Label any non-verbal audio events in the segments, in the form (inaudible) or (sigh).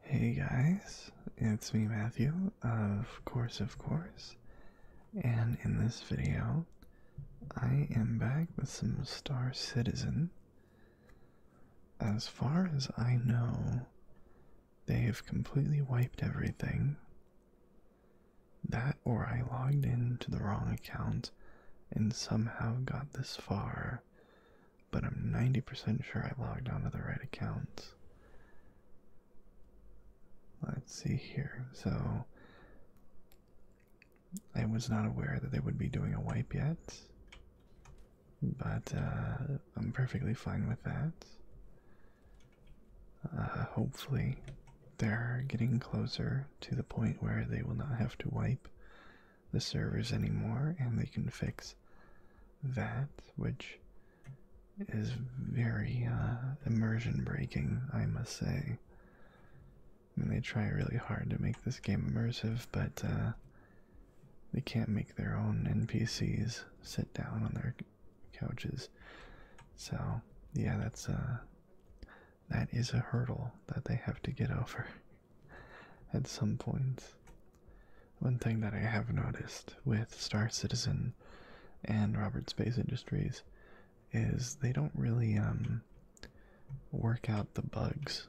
Hey guys, it's me Matthew, of course, of course, and in this video, I am back with some Star Citizen. As far as I know, they have completely wiped everything. That or I logged in to the wrong account and somehow got this far but I'm 90% sure I logged onto the right accounts. Let's see here. So I was not aware that they would be doing a wipe yet, but uh, I'm perfectly fine with that. Uh, hopefully, they're getting closer to the point where they will not have to wipe the servers anymore, and they can fix that, which is very uh, immersion breaking, I must say. And they try really hard to make this game immersive, but uh, they can't make their own NPCs sit down on their couches. So, yeah, that's uh, that is a hurdle that they have to get over at some points, One thing that I have noticed with Star Citizen and Robert Space Industries is they don't really um, work out the bugs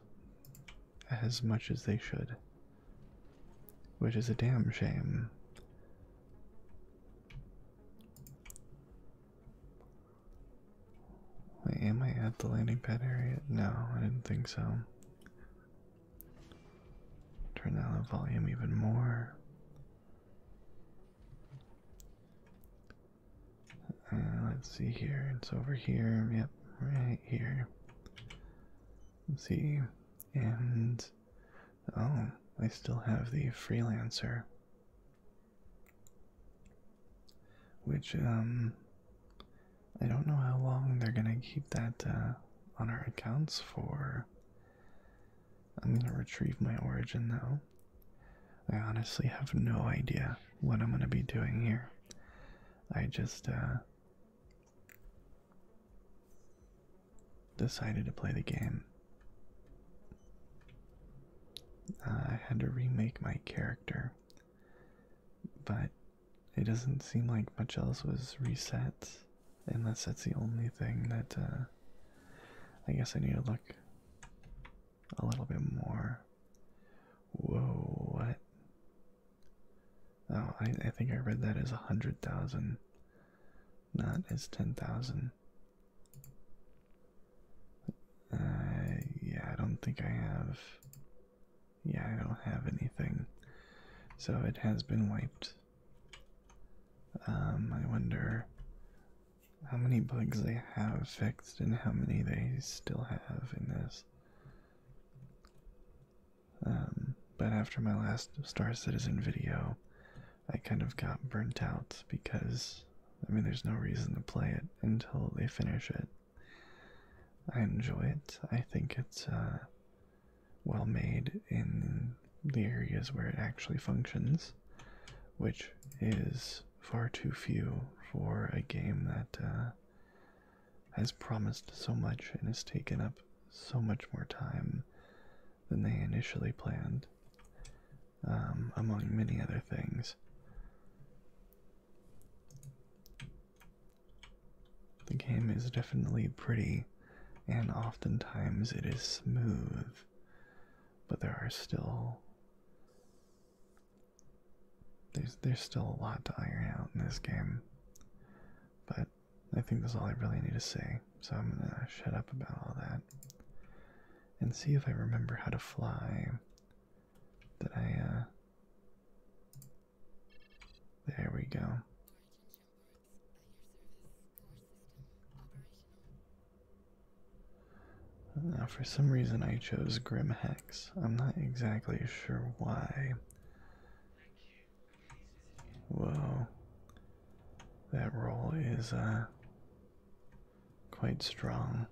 as much as they should, which is a damn shame. am I at the landing pad area? No, I didn't think so. Turn down the volume even more. Uh, let's see here. It's over here. Yep, right here. Let's see. And oh, I still have the freelancer. Which um I don't know how long they're gonna keep that uh, on our accounts for. I'm gonna retrieve my origin though. I honestly have no idea what I'm gonna be doing here. I just uh, decided to play the game. Uh, I had to remake my character, but it doesn't seem like much else was reset, unless that's the only thing that uh, I guess I need to look a little bit more. Whoa, what? Oh, I, I think I read that as a hundred thousand, not as ten thousand. Uh, yeah, I don't think I have yeah, I don't have anything. So it has been wiped. Um, I wonder how many bugs they have fixed and how many they still have in this. Um, but after my last Star Citizen video, I kind of got burnt out because, I mean, there's no reason to play it until they finish it. I enjoy it. I think it's, uh, well made in the areas where it actually functions, which is far too few for a game that uh, has promised so much and has taken up so much more time than they initially planned, um, among many other things. The game is definitely pretty, and oftentimes it is smooth, but there are still there's there's still a lot to iron out in this game. But I think that's all I really need to say, so I'm gonna shut up about all that and see if I remember how to fly. Did I uh, there we go. Now, uh, for some reason, I chose Grim Hex. I'm not exactly sure why. Whoa. That roll is, uh, quite strong.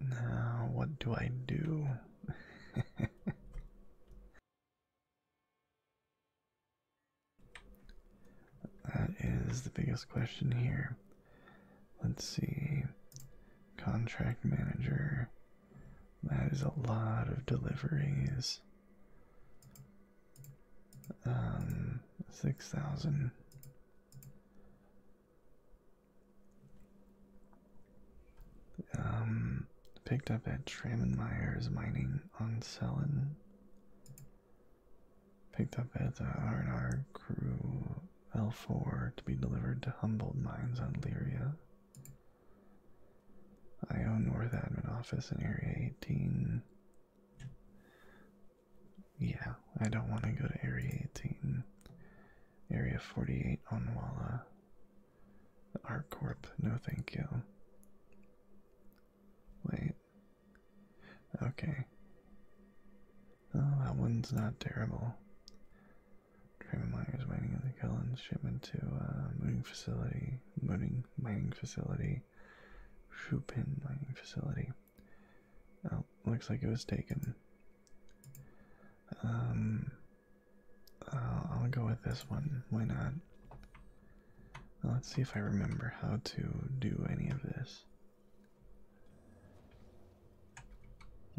Now, what do I do? (laughs) that is the biggest question here. Let's see. Contract manager. That is a lot of deliveries. Um, 6,000. Um, picked up at Trammendmeyer's mining on Selen. Picked up at the R&R crew L4 to be delivered to Humboldt Mines on Lyria. own North Admin Office in Area 18. Yeah, I don't want to go to Area 18. Area 48 Onwala. The r no thank you. Wait. Okay. Oh, that one's not terrible. Trevor Myers mining of the Cullens shipment to a uh, mooning facility, mooning mining facility, Shupin mining facility. Oh, looks like it was taken. Um, I'll, go with this one. Why not? Let's see if I remember how to do any of this.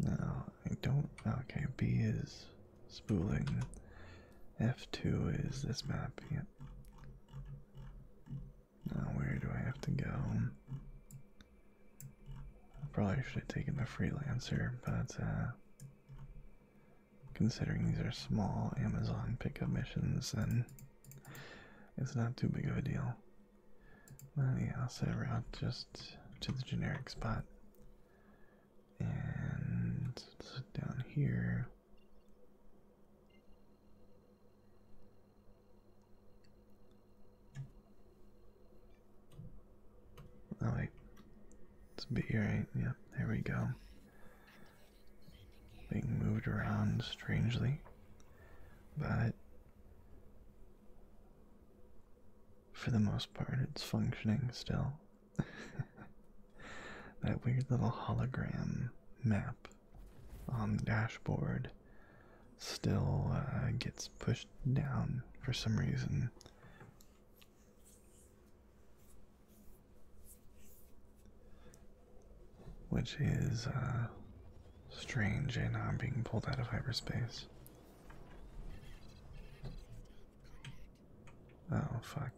No, I don't. Okay, B is spooling. F2 is this map. Yep. Now, where do I have to go? I probably should have taken the freelancer, but uh, considering these are small Amazon pickup missions, then it's not too big of a deal. I'll set a route just to the generic spot. And down here. Oh wait, it's B right, yeah, there we go. Being moved around strangely, but for the most part it's functioning still. (laughs) that weird little hologram map on the dashboard still uh, gets pushed down for some reason. Which is uh, strange, and I'm uh, being pulled out of hyperspace. Oh, fuck.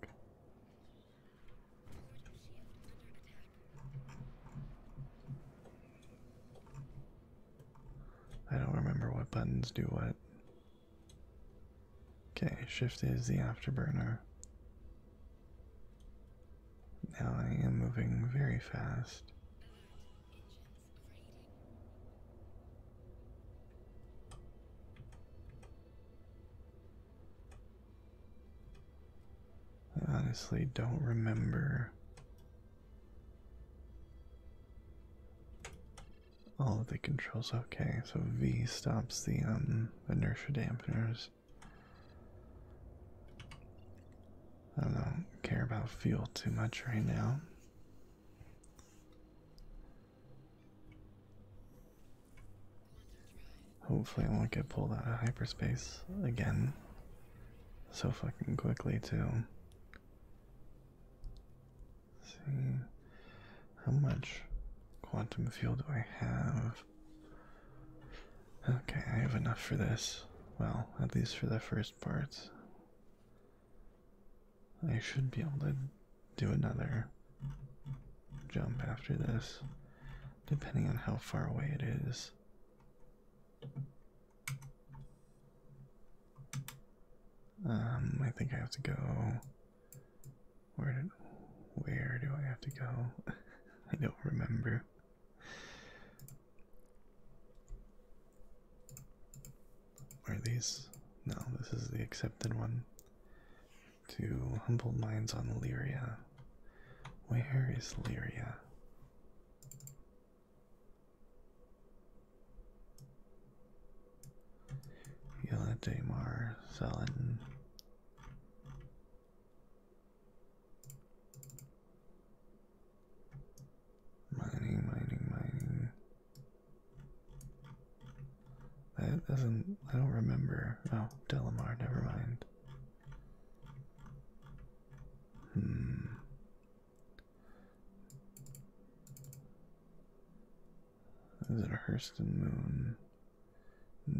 I don't remember what buttons do what. Okay, shift is the afterburner. Now I am moving very fast. I honestly don't remember all the controls okay, so V stops the um, inertia dampeners. I don't care about fuel too much right now. Hopefully, I won't get pulled out of hyperspace again so fucking quickly, too. See how much quantum fuel do I have? Okay, I have enough for this. Well, at least for the first part. I should be able to do another jump after this, depending on how far away it is. Um, I think I have to go. Where did, where do I have to go? (laughs) I don't remember. Are these? No, this is the accepted one. To humble minds on Lyria. Where is Lyria? Yell at Mining, mining, mining. That doesn't. I don't remember. Oh, Delamar, never mind. Hmm. Is it Hurston Moon?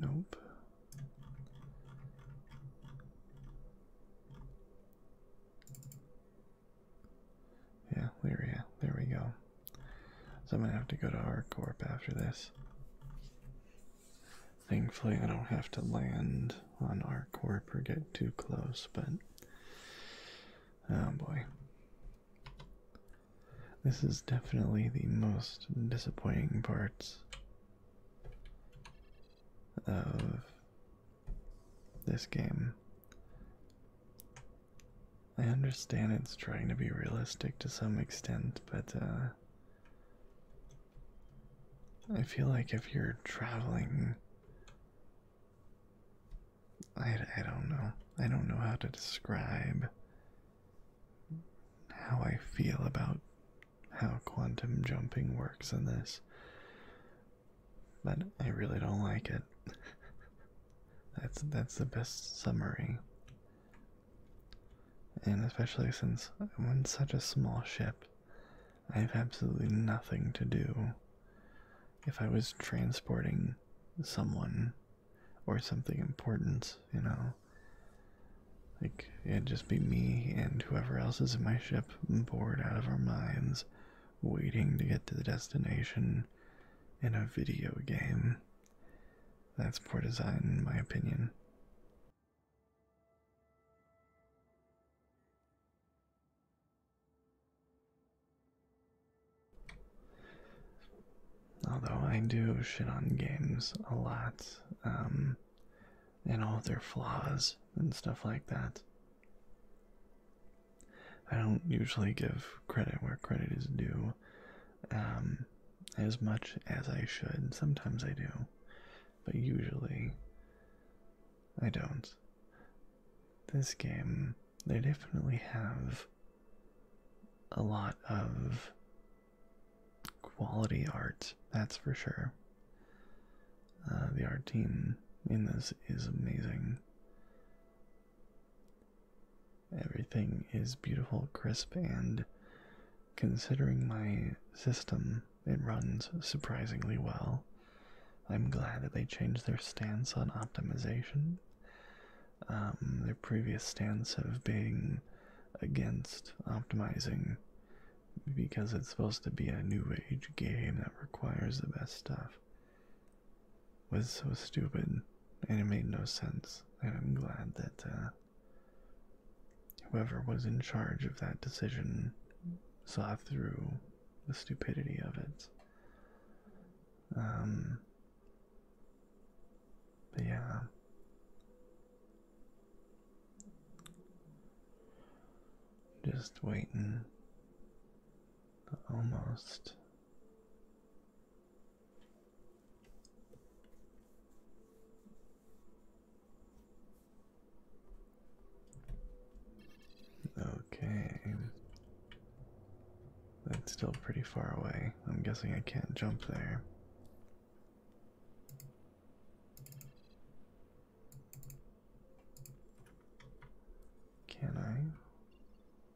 Nope. Yeah, Lyria. There we go. So I'm gonna have to go to our corp after this. Thankfully, I don't have to land on our corpse or get too close, but oh boy. This is definitely the most disappointing parts of this game. I understand it's trying to be realistic to some extent, but uh, I feel like if you're traveling I, I don't know. I don't know how to describe how I feel about how quantum jumping works in this. But I really don't like it. (laughs) that's that's the best summary. And especially since I'm in such a small ship I have absolutely nothing to do. If I was transporting someone or something important, you know, like it'd just be me and whoever else is in my ship, bored out of our minds, waiting to get to the destination in a video game. That's poor design, in my opinion. Although I do shit on games a lot, um, and all their flaws and stuff like that. I don't usually give credit where credit is due um, as much as I should. Sometimes I do, but usually I don't this game, they definitely have a lot of quality art, that's for sure. Uh, the art team in this is amazing. Everything is beautiful, crisp, and considering my system, it runs surprisingly well. I'm glad that they changed their stance on optimization. Um, their previous stance of being against optimizing because it's supposed to be a new age game that requires the best stuff was so stupid and it made no sense. And I'm glad that uh, whoever was in charge of that decision saw through the stupidity of it. Um, but yeah. Just waiting almost. Okay. That's still pretty far away. I'm guessing I can't jump there. Can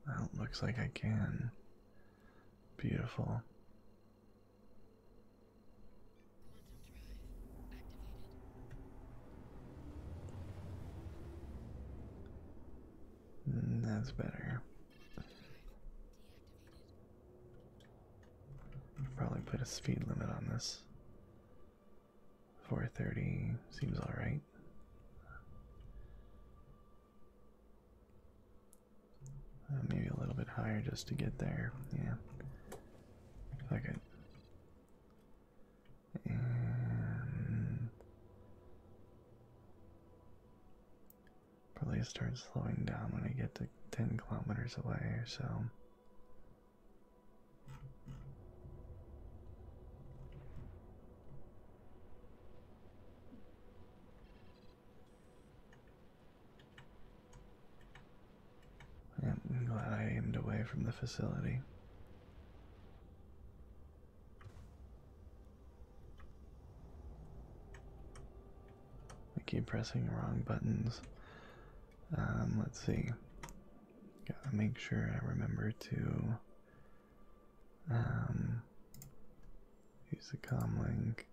I? Well, looks like I can. Beautiful. Mm, that's better. Probably put a speed limit on this. 430 seems alright. Uh, maybe a little bit higher just to get there. Yeah. Fuck it and probably start slowing down when I get to 10 kilometers away or so. I'm glad I aimed away from the facility. I keep pressing the wrong buttons. Um, let's see. Gotta make sure I remember to um, use the com link.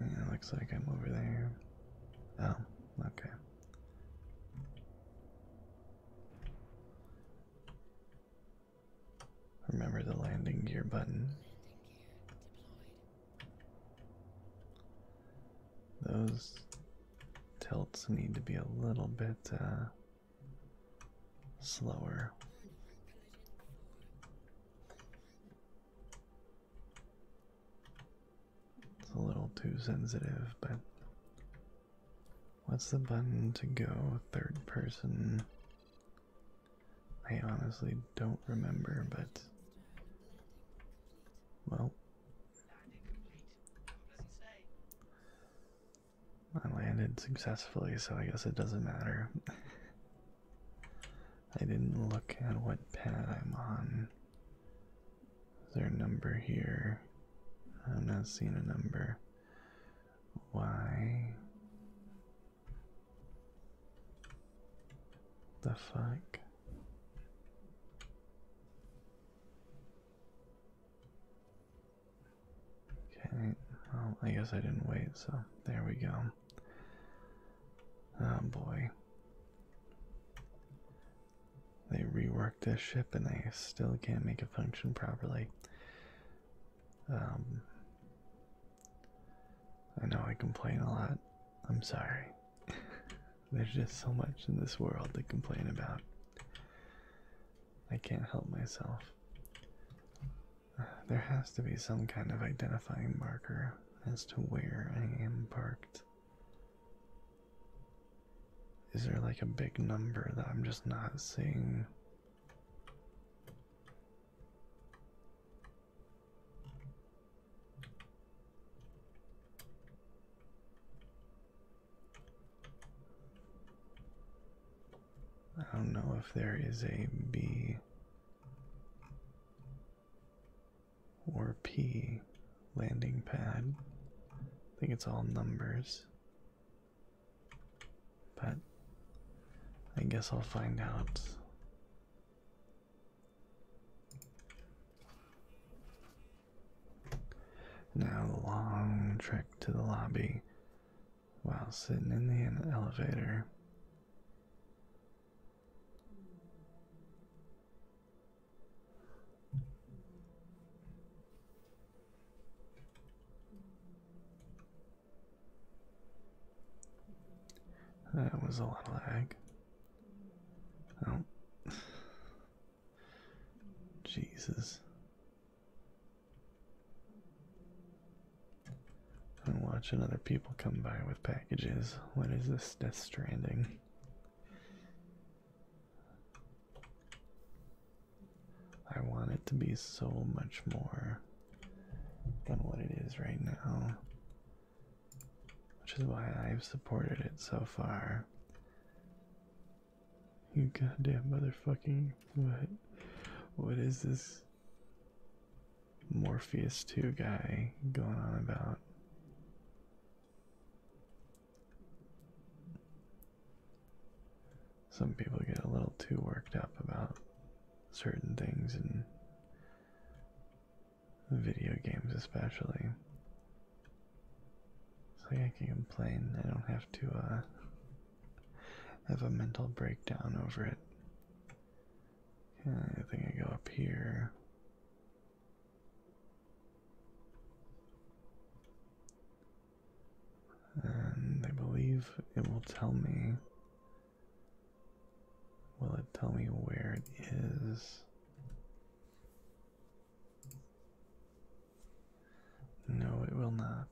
It looks like I'm over there. Oh, okay. Remember the landing gear button. Those tilts need to be a little bit uh, slower. It's a little too sensitive, but what's the button to go third person? I honestly don't remember, but well, I landed successfully, so I guess it doesn't matter. (laughs) I didn't look at what pad I'm on. Is there a number here? I'm not seeing a number. Why? The fuck? Okay, well, I guess I didn't wait, so there we go. Oh boy. They reworked this ship and they still can't make it function properly. Um, I know I complain a lot. I'm sorry. (laughs) There's just so much in this world to complain about. I can't help myself. There has to be some kind of identifying marker as to where I am parked. Is there like a big number that I'm just not seeing? I don't know if there is a B or P landing pad. I think it's all numbers. But I guess I'll find out. Now, the long trek to the lobby while sitting in the elevator that was a lot of lag. Oh. Jesus. I'm watching other people come by with packages. What is this Death Stranding? I want it to be so much more than what it is right now, which is why I've supported it so far. You goddamn motherfucking. What? What is this? Morpheus 2 guy going on about. Some people get a little too worked up about certain things in video games, especially. So yeah, I can complain. I don't have to uh, have a mental breakdown over it. I think I go up here. And I believe it will tell me. Will it tell me where it is? No, it will not.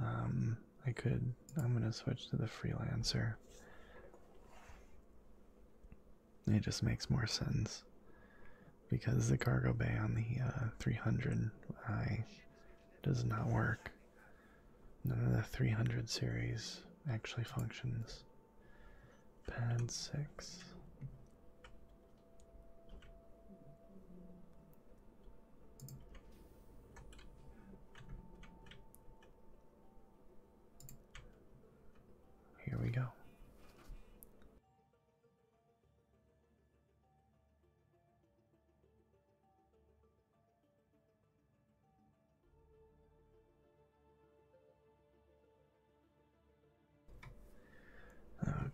Um, I could. I'm gonna switch to the freelancer. It just makes more sense because the cargo bay on the 300i uh, does not work. None of the 300 series actually functions. Pad 6. Here we go.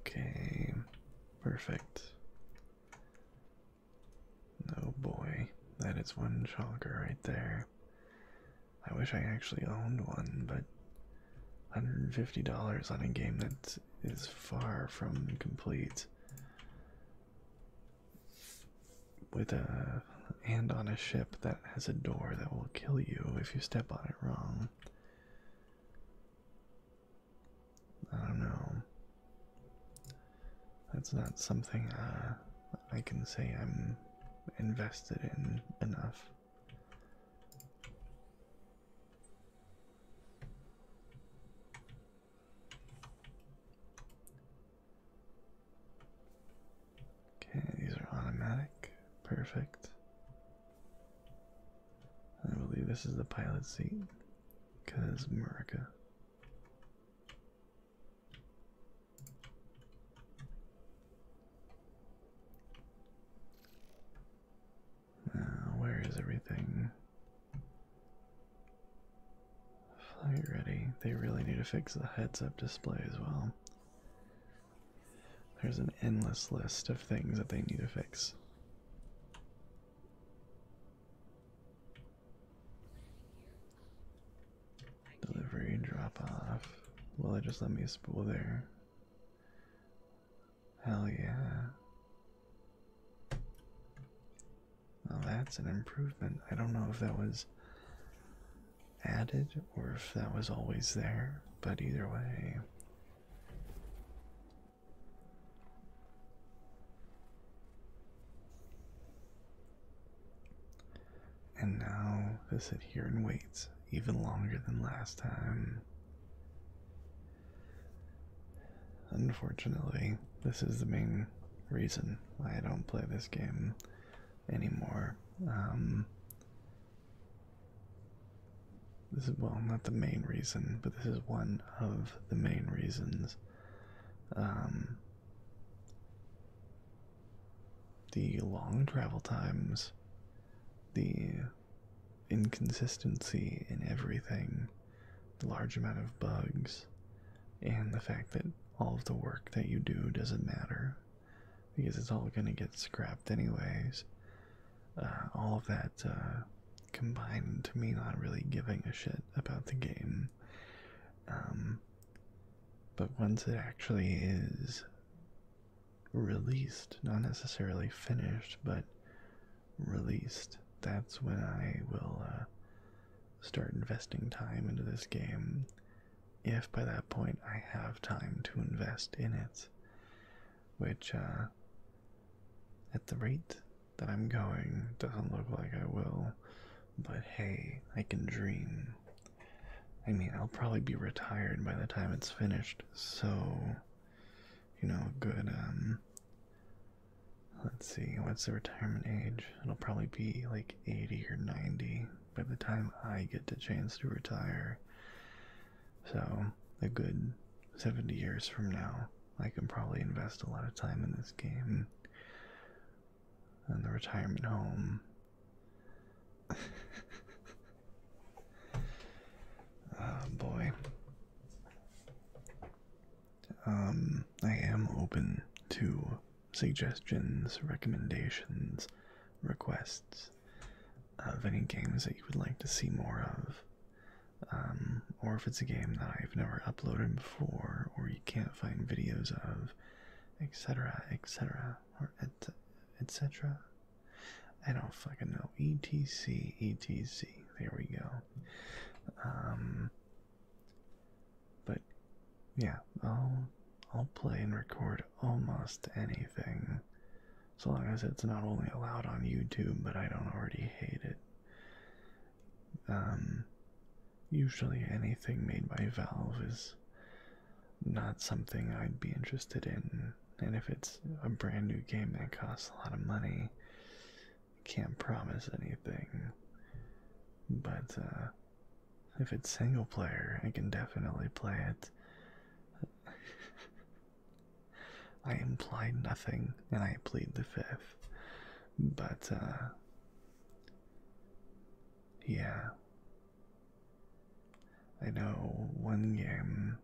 Okay, perfect. Oh boy, that is one shocker right there. I wish I actually owned one, but $150 on a game that is far from complete. With a and on a ship that has a door that will kill you if you step on it wrong. I don't know. That's not something uh, I can say I'm invested in enough. Okay, these are automatic. Perfect. I believe this is the pilot seat because America. Uh, where is everything? Flight ready. They really need to fix the heads up display as well. There's an endless list of things that they need to fix. Delivery drop off. Well, it just let me spool there? Hell yeah. Now that's an improvement. I don't know if that was added or if that was always there, but either way. And now they sit here and wait even longer than last time. Unfortunately, this is the main reason why I don't play this game anymore. Um, this is, well, not the main reason, but this is one of the main reasons. Um, the long travel times, the inconsistency in everything, the large amount of bugs, and the fact that all of the work that you do doesn't matter because it's all going to get scrapped anyways. Uh, all of that uh, combined to me not really giving a shit about the game um, but once it actually is released, not necessarily finished, but released, that's when I will uh, start investing time into this game. If by that point I have time to invest in it, which uh, at the rate that I'm going doesn't look like I will, but hey, I can dream. I mean, I'll probably be retired by the time it's finished, so you know, good um let's see, what's the retirement age? It'll probably be like 80 or 90 by the time I get the chance to retire. So, a good 70 years from now, I can probably invest a lot of time in this game and the retirement home. oh (laughs) boy. Um, I am open to suggestions, recommendations, requests of any games that you would like to see more of. Um, or if it's a game that I've never uploaded before or you can't find videos of, etc., etc., or etc. I don't fucking know. etc. etc. There we go. Um. But yeah, I'll I'll play and record almost anything, so long as it's not only allowed on YouTube, but I don't already hate it. Um, usually anything made by Valve is not something I'd be interested in. And if it's a brand new game that costs a lot of money, can't promise anything. But uh, if it's single player, I can definitely play it. (laughs) I implied nothing and I plead the fifth. But uh, yeah. I know one game.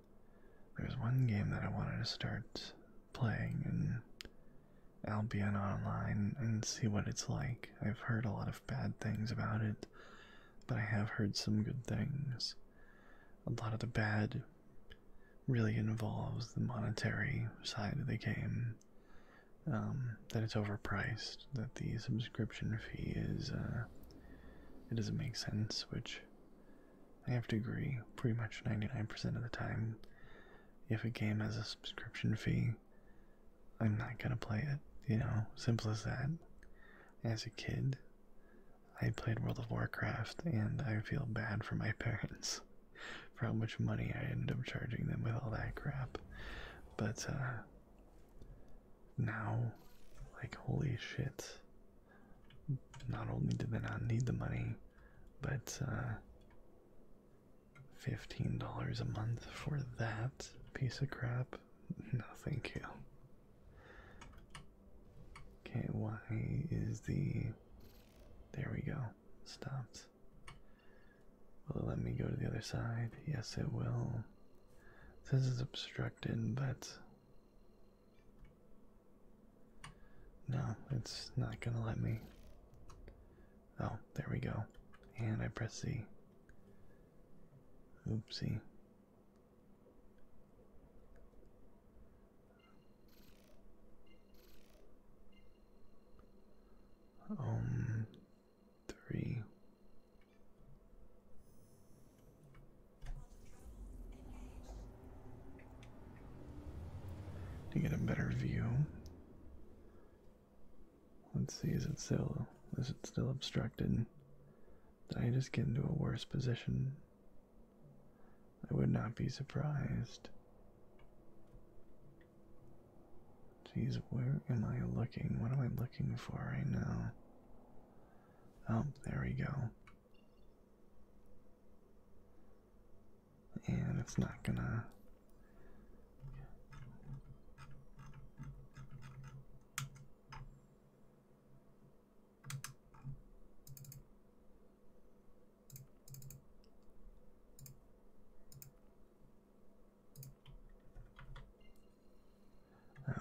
There's one game that I wanted to start playing in Albion Online and see what it's like. I've heard a lot of bad things about it, but I have heard some good things. A lot of the bad really involves the monetary side of the game. Um, that it's overpriced, that the subscription fee is, uh, it doesn't make sense, which I have to agree pretty much 99% of the time. If a game has a subscription fee, I'm not gonna play it, you know, simple as that. As a kid, I played World of Warcraft and I feel bad for my (laughs) parents for how much money I ended up charging them with all that crap. But uh, now, like, holy shit. Not only do they not need the money, but uh, $15 a month for that piece of crap? No, thank you. Okay, why is the. There we go. Stopped. Will it let me go to the other side? Yes, it will. This is obstructed, but. No, it's not gonna let me. Oh, there we go. And I press C. Oopsie um three to get a better view. Let's see, is it still is it still obstructed? Did I just get into a worse position? I would not be surprised. Jeez, where am I looking? What am I looking for right now? Oh, there we go. And it's not gonna.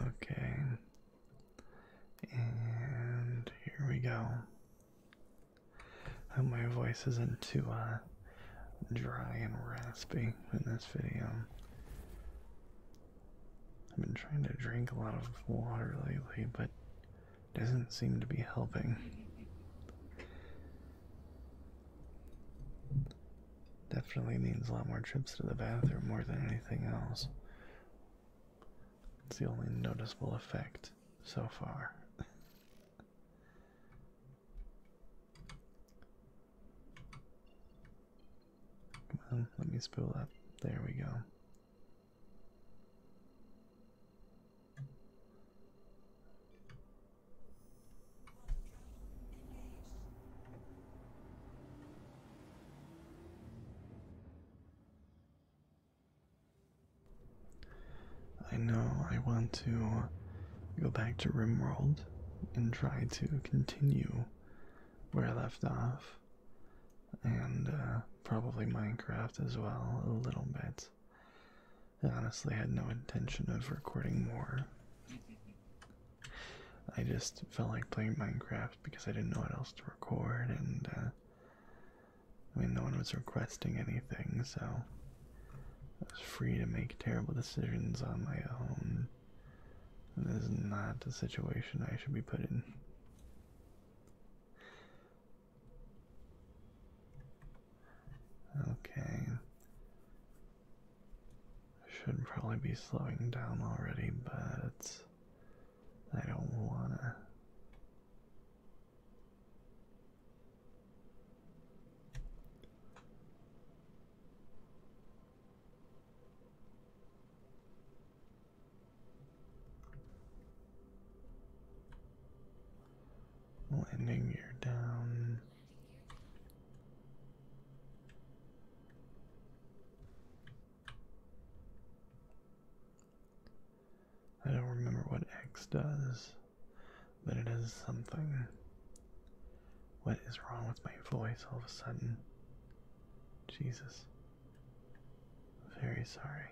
Okay. And here we go. hope oh, my voice isn't too uh, dry and raspy in this video. I've been trying to drink a lot of water lately, but it doesn't seem to be helping. Definitely means a lot more trips to the bathroom more than anything else. It's the only noticeable effect so far. let me spool up. There we go. I know I want to go back to Rimworld and try to continue where I left off, and uh, probably Minecraft as well, a little bit. I honestly had no intention of recording more. I just felt like playing Minecraft because I didn't know what else to record, and uh, I mean, no one was requesting anything, so I was free to make terrible decisions on my own. this is not the situation I should be put in. Okay. Should probably be slowing down already, but I don't wanna. Landing gear down. I don't remember what X does, but it is something. What is wrong with my voice all of a sudden? Jesus. Very sorry.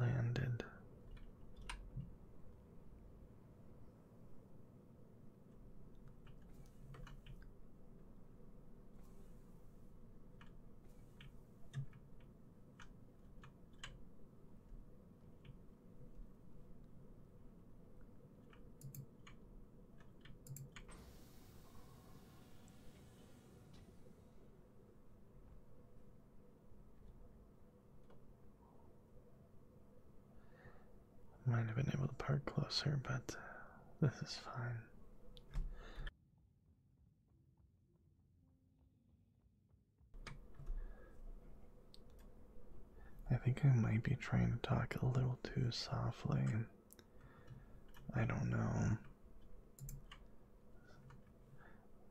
landed. Might have been able to park closer, but this is fine. I think I might be trying to talk a little too softly. I don't know.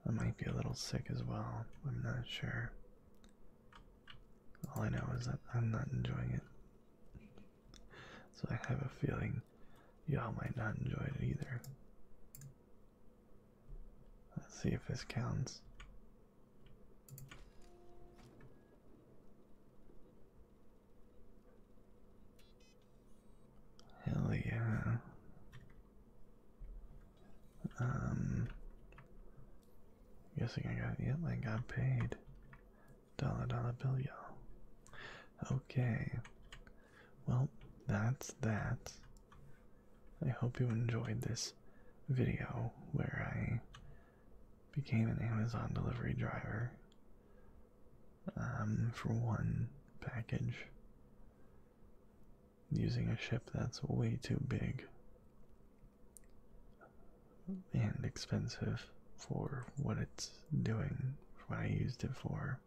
I might be a little sick as well. I'm not sure. All I know is that I'm not enjoying it. So I have a feeling y'all might not enjoy it either. Let's see if this counts. Hell yeah. Um, guessing I got, yep, I got paid. Dollar dollar bill, y'all. Okay. Well, that's that. I hope you enjoyed this video where I became an Amazon delivery driver um, for one package using a ship that's way too big and expensive for what it's doing, for what I used it for.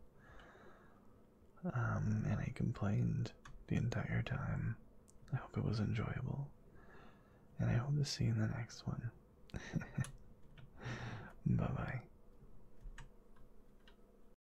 Um, and I complained the entire time. I hope it was enjoyable. And I hope to see you in the next one. (laughs) bye bye.